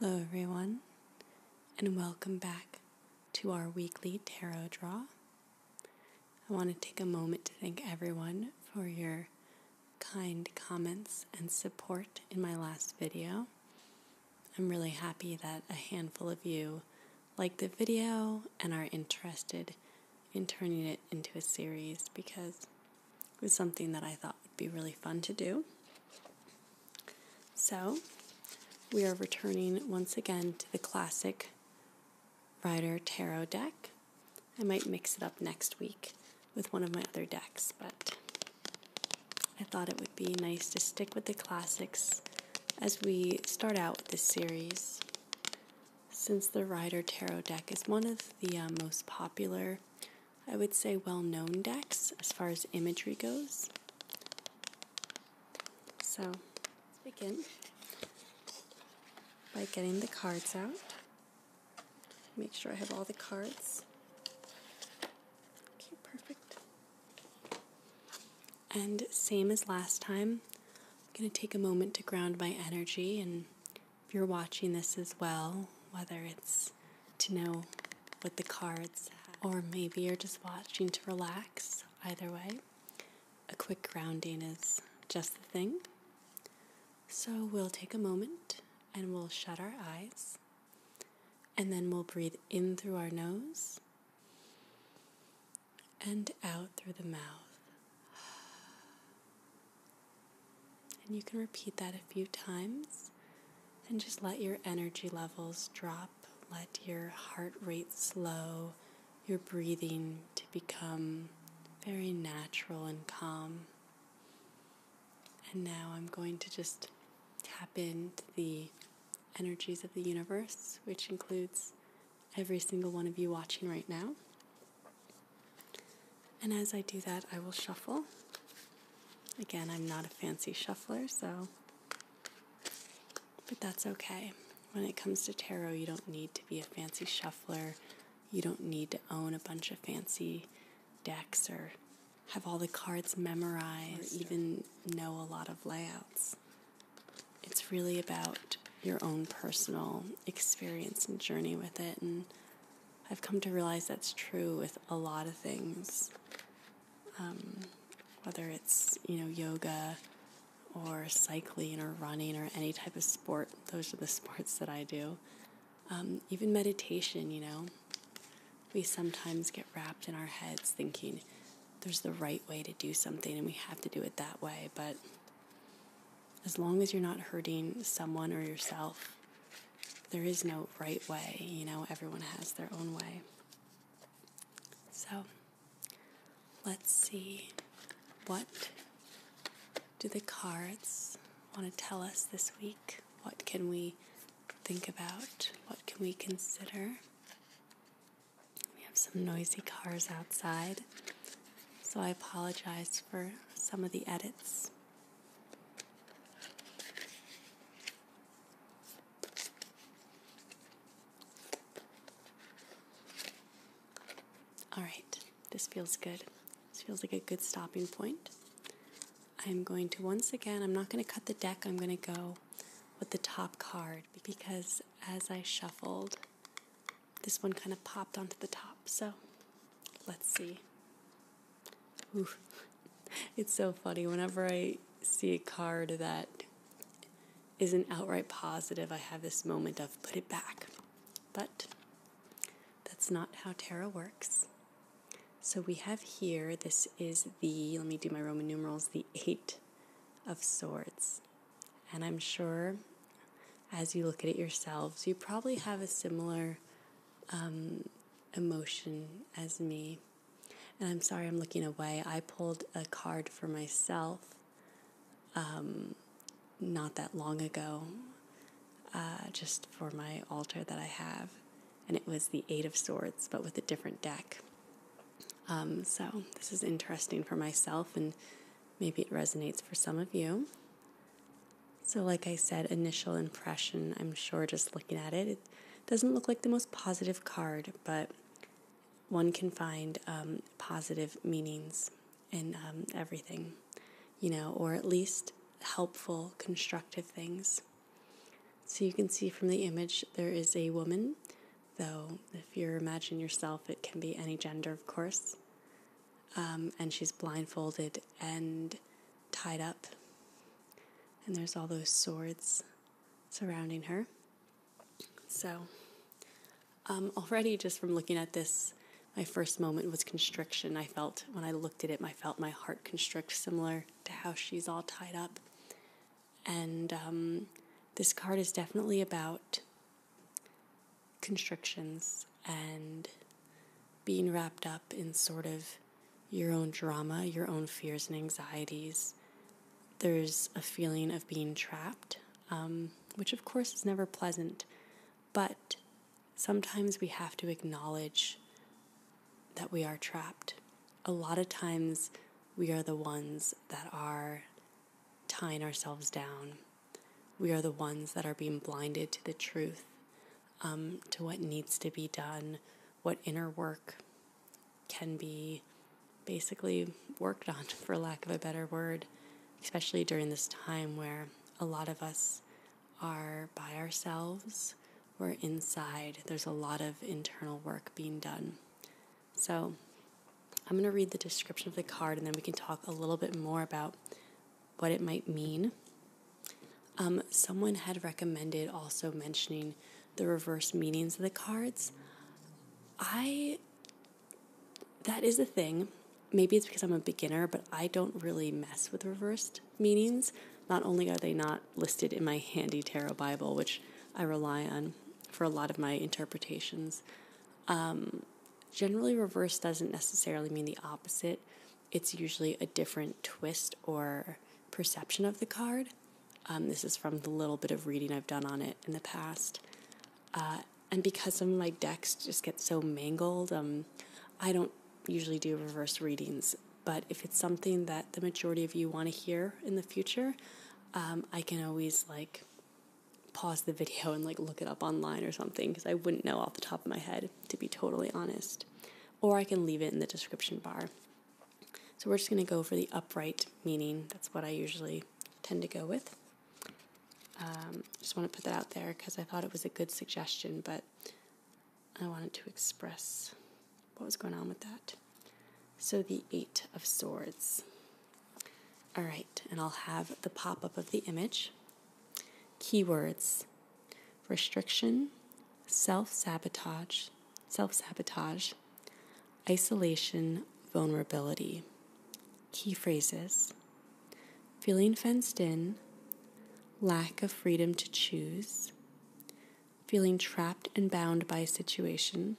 Hello, everyone, and welcome back to our weekly tarot draw. I want to take a moment to thank everyone for your kind comments and support in my last video. I'm really happy that a handful of you liked the video and are interested in turning it into a series because was something that I thought would be really fun to do. So, we are returning once again to the classic Rider Tarot deck. I might mix it up next week with one of my other decks, but I thought it would be nice to stick with the classics as we start out with this series. Since the Rider Tarot deck is one of the uh, most popular I would say, well known decks as far as imagery goes. So let's begin by getting the cards out. Make sure I have all the cards. Okay, perfect. And same as last time, I'm going to take a moment to ground my energy and if you're watching this as well, whether it's to know what the cards or maybe you're just watching to relax, either way, a quick grounding is just the thing. So we'll take a moment and we'll shut our eyes. And then we'll breathe in through our nose and out through the mouth. And you can repeat that a few times and just let your energy levels drop. Let your heart rate slow, your breathing to become very natural and calm. And now I'm going to just tap into the energies of the universe, which includes every single one of you watching right now. And as I do that, I will shuffle. Again, I'm not a fancy shuffler, so, but that's okay. When it comes to tarot, you don't need to be a fancy shuffler. You don't need to own a bunch of fancy decks or have all the cards memorized or even know a lot of layouts. It's really about your own personal experience and journey with it and I've come to realize that's true with a lot of things, um, whether it's, you know, yoga or cycling or running or any type of sport. Those are the sports that I do. Um, even meditation, you know, we sometimes get wrapped in our heads thinking there's the right way to do something and we have to do it that way, but as long as you're not hurting someone or yourself, there is no right way. You know, everyone has their own way. So, let's see what do the cards want to tell us this week? What can we think about? What can we consider? We have some noisy cars outside, so I apologize for some of the edits. All right, this feels good. This feels like a good stopping point. I'm going to once again, I'm not going to cut the deck, I'm going to go with the top card because as I shuffled, this one kind of popped onto the top. So let's see. It's so funny. Whenever I see a card that isn't outright positive, I have this moment of put it back. But that's not how tarot works. So we have here, this is the, let me do my Roman numerals, the Eight of Swords. And I'm sure as you look at it yourselves, you probably have a similar um, emotion as me. And I'm sorry I'm looking away. I pulled a card for myself um, not that long ago, uh, just for my altar that I have. And it was the Eight of Swords, but with a different deck. Um, so this is interesting for myself, and maybe it resonates for some of you. So, like I said, initial impression, I'm sure just looking at it, it doesn't look like the most positive card, but one can find um, positive meanings in um, everything, you know, or at least helpful, constructive things. So you can see from the image there is a woman, though if you imagine yourself, it can be any gender, of course, um, and she's blindfolded and tied up. And there's all those swords surrounding her. So, um, already just from looking at this, my first moment was constriction. I felt when I looked at it, I felt my heart constrict, similar to how she's all tied up. And um, this card is definitely about constrictions and being wrapped up in sort of your own drama, your own fears and anxieties. There's a feeling of being trapped, um, which of course is never pleasant, but sometimes we have to acknowledge that we are trapped. A lot of times we are the ones that are tying ourselves down. We are the ones that are being blinded to the truth, um, to what needs to be done, what inner work can be basically worked on, for lack of a better word, especially during this time where a lot of us are by ourselves, we're inside, there's a lot of internal work being done. So, I'm going to read the description of the card and then we can talk a little bit more about what it might mean. Um, someone had recommended also mentioning the reverse meanings of the cards. I, that is a thing. Maybe it's because I'm a beginner, but I don't really mess with reversed meanings. Not only are they not listed in my handy tarot Bible, which I rely on for a lot of my interpretations, um, Generally, reverse doesn't necessarily mean the opposite, it's usually a different twist or perception of the card. Um, this is from the little bit of reading I've done on it in the past. Uh, and because some of my decks just get so mangled, um, I don't usually do reverse readings. But if it's something that the majority of you want to hear in the future, um, I can always like pause the video and like look it up online or something because I wouldn't know off the top of my head, to be totally honest. Or I can leave it in the description bar. So we're just going to go for the upright meaning. That's what I usually tend to go with. Um, just want to put that out there because I thought it was a good suggestion, but I wanted to express what was going on with that. So the Eight of Swords. All right, and I'll have the pop up of the image. Keywords restriction, self sabotage, self sabotage, isolation, vulnerability. Key phrases feeling fenced in, lack of freedom to choose, feeling trapped and bound by a situation,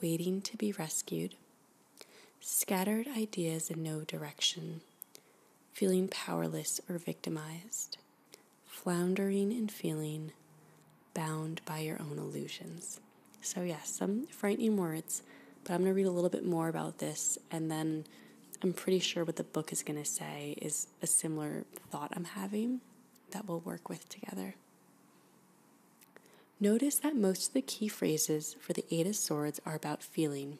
waiting to be rescued, Scattered ideas in no direction, feeling powerless or victimized, floundering and feeling bound by your own illusions. So, yes, some frightening words, but I'm going to read a little bit more about this and then. I'm pretty sure what the book is going to say is a similar thought I'm having that we'll work with together. Notice that most of the key phrases for the Eight of Swords are about feeling.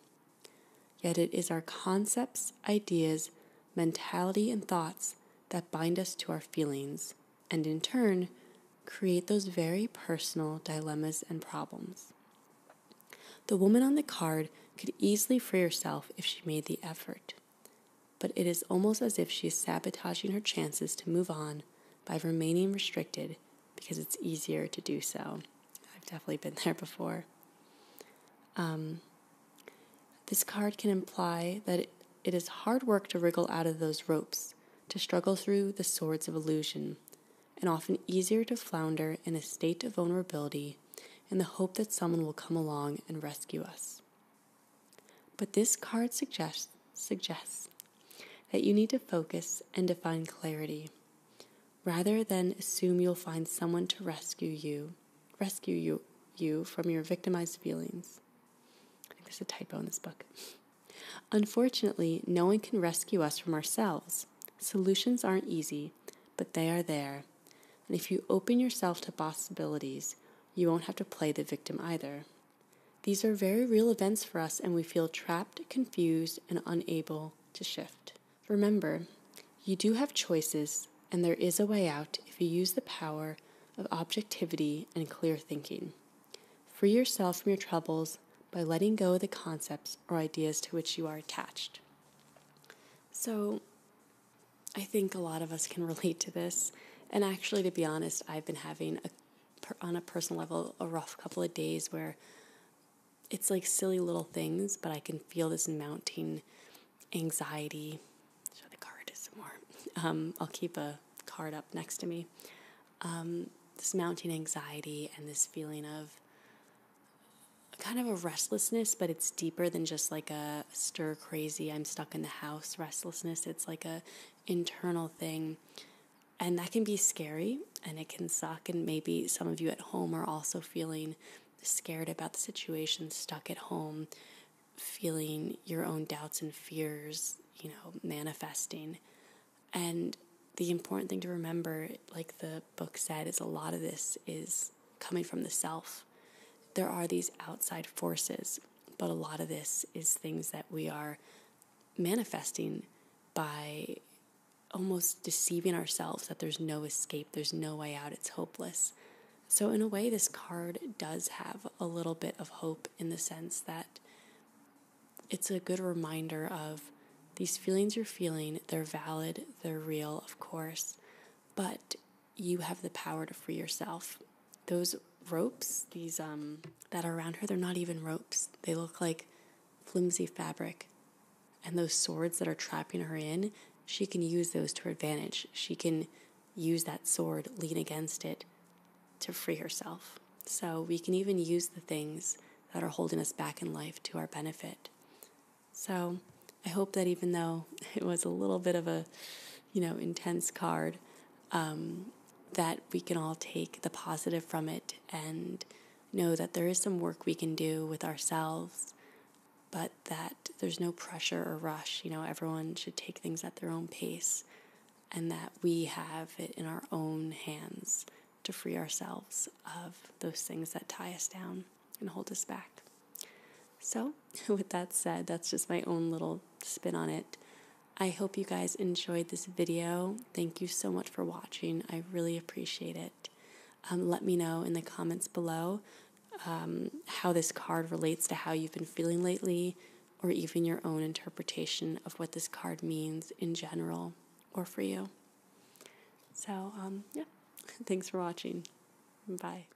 Yet it is our concepts, ideas, mentality, and thoughts that bind us to our feelings, and in turn, create those very personal dilemmas and problems. The woman on the card could easily free herself if she made the effort, but it is almost as if she is sabotaging her chances to move on by remaining restricted because it's easier to do so. I've definitely been there before. Um, this card can imply that it is hard work to wriggle out of those ropes, to struggle through the swords of illusion, and often easier to flounder in a state of vulnerability in the hope that someone will come along and rescue us. But this card suggests, that you need to focus and define clarity. Rather than assume you'll find someone to rescue you, rescue you, you from your victimized feelings. there's a typo in this book. Unfortunately, no one can rescue us from ourselves. Solutions aren't easy, but they are there. And if you open yourself to possibilities, you won't have to play the victim either. These are very real events for us, and we feel trapped, confused, and unable to shift. Remember, you do have choices, and there is a way out if you use the power of objectivity and clear thinking. Free yourself from your troubles by letting go of the concepts or ideas to which you are attached. So, I think a lot of us can relate to this. And actually, to be honest, I've been having a on a personal level a rough couple of days where it's like silly little things, but I can feel this mounting anxiety. Show the card some more. Um, I'll keep a card up next to me. Um, this mounting anxiety and this feeling of kind of a restlessness, but it's deeper than just like a stir crazy, I'm stuck in the house restlessness. It's like a internal thing. And that can be scary and it can suck. And maybe some of you at home are also feeling scared about the situation, stuck at home, feeling your own doubts and fears, you know, manifesting. And the important thing to remember, like the book said, is a lot of this is coming from the self. There are these outside forces but a lot of this is things that we are manifesting by almost deceiving ourselves that there's no escape, there's no way out, it's hopeless. So, in a way, this card does have a little bit of hope in the sense that it's a good reminder of these feelings you're feeling, they're valid, they're real, of course, but you have the power to free yourself. Those ropes, these um, that are around her, they're not even ropes. They look like flimsy fabric. And those swords that are trapping her in, she can use those to her advantage. She can use that sword, lean against it to free herself. So we can even use the things that are holding us back in life to our benefit. So I hope that even though it was a little bit of a you know, intense card, um, that we can all take the positive from it and know that there is some work we can do with ourselves, but that there's no pressure or rush. You know, everyone should take things at their own pace and that we have it in our own hands to free ourselves of those things that tie us down and hold us back. So, with that said, that's just my own little spin on it. I hope you guys enjoyed this video. Thank you so much for watching. I really appreciate it. Um, let me know in the comments below um, how this card relates to how you've been feeling lately, or even your own interpretation of what this card means in general or for you. So, um, yeah, thanks for watching. Bye.